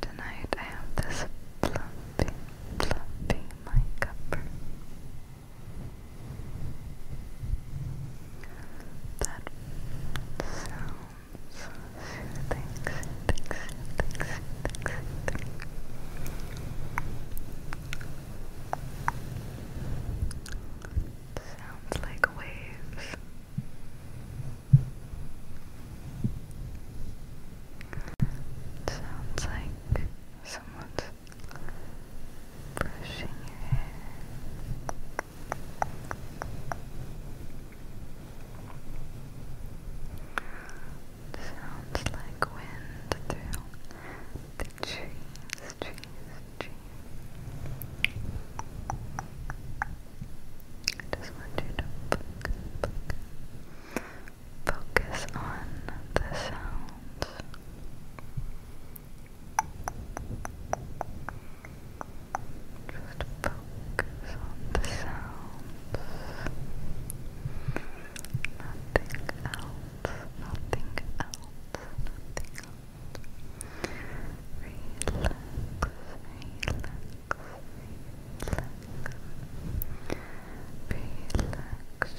Tonight I have this plumpy, plumpy my that sounds Sounds like waves. Sounds like someone's brushing your hair. Sounds like wind through the trees, trees, trees. I just want you to focus on the sounds. Just focus on the sounds. Nothing else, nothing else, nothing else. Relax, relax, relax. Relax, relax. Relax,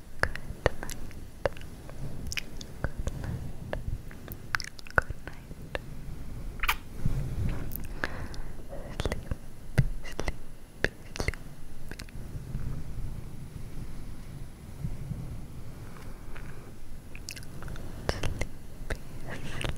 Good night. Good night. Good night. Sleepy, sleepy, sleepy. Sleepy, sleepy, sleepy.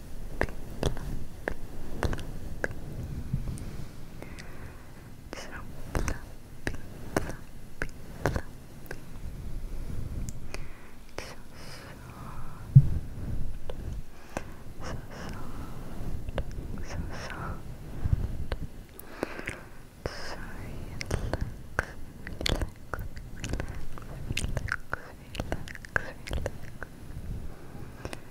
So fluffy, fluffy, fluffy. so soft, so soft, so soft. So relax,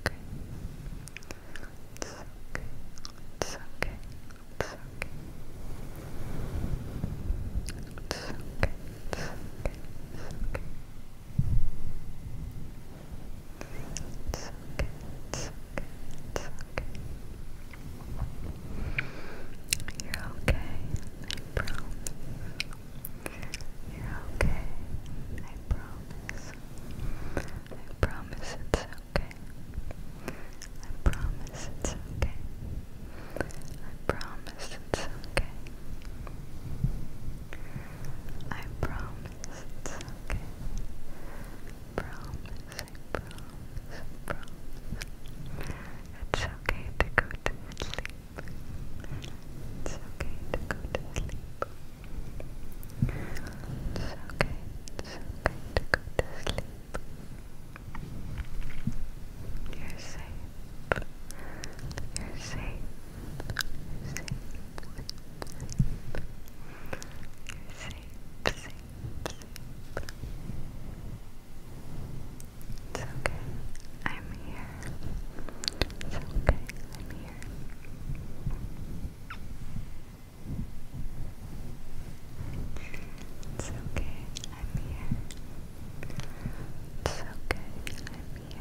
okay. It's okay. It's okay. It's okay. It's okay. It's okay. It's okay. It's okay. It's okay. It's okay. You're okay. I You're okay promise. I promise it's okay. I promise it's okay. I promise it's okay. I promise it's okay. Promise, promise, promise. It's okay to go to sleep. It's okay to go to sleep. It's okay, it's okay to go to sleep. You're safe. You're safe. safe. You're safe. Safe. Safe. It's okay. I'm here. It's okay, I'm here. It's okay, I'm here. It's okay, I'm here.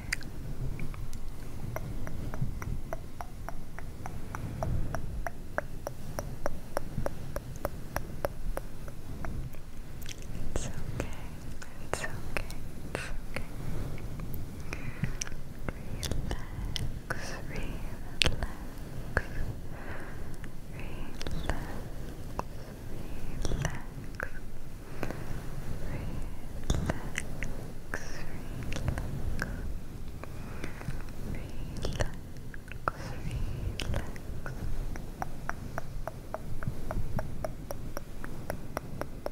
It's okay, it's okay, relax, relax, relax. Relax, relax, relax. Relax. Relax.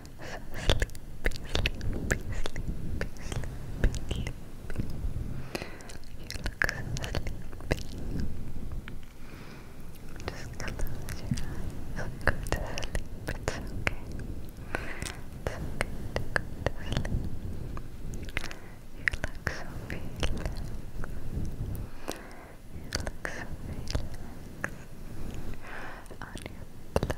sleepy, sleepy, sleepy, sleepy. You look so sleepy. Just close your eyes and go okay. It's okay to go You look so relaxed. You look so relaxed. On your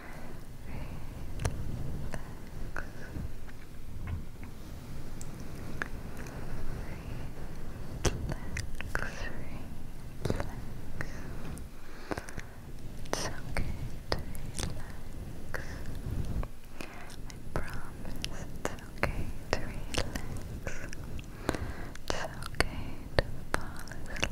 it's okay to relax. I promise it's okay to relax. It's okay to fall asleep.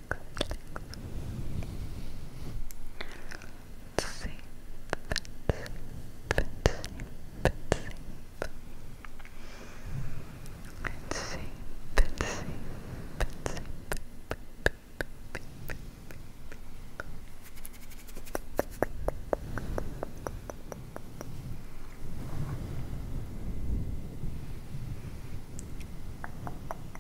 Let's see. Let's see. Let's see. Let's see. Let's see. Let's see. Let's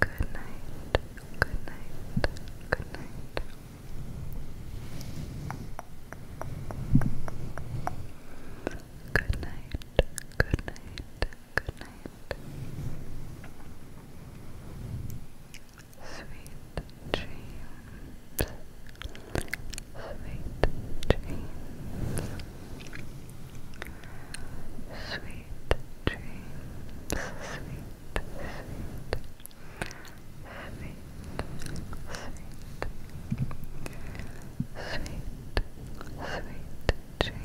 Good night. Good night. Good night. Good night. Good night. Good night. Sweet dreams. Sweet dreams. Sweet dreams, sweet, sweet, sweet, sweet, sweet, dreams, sweet dreams.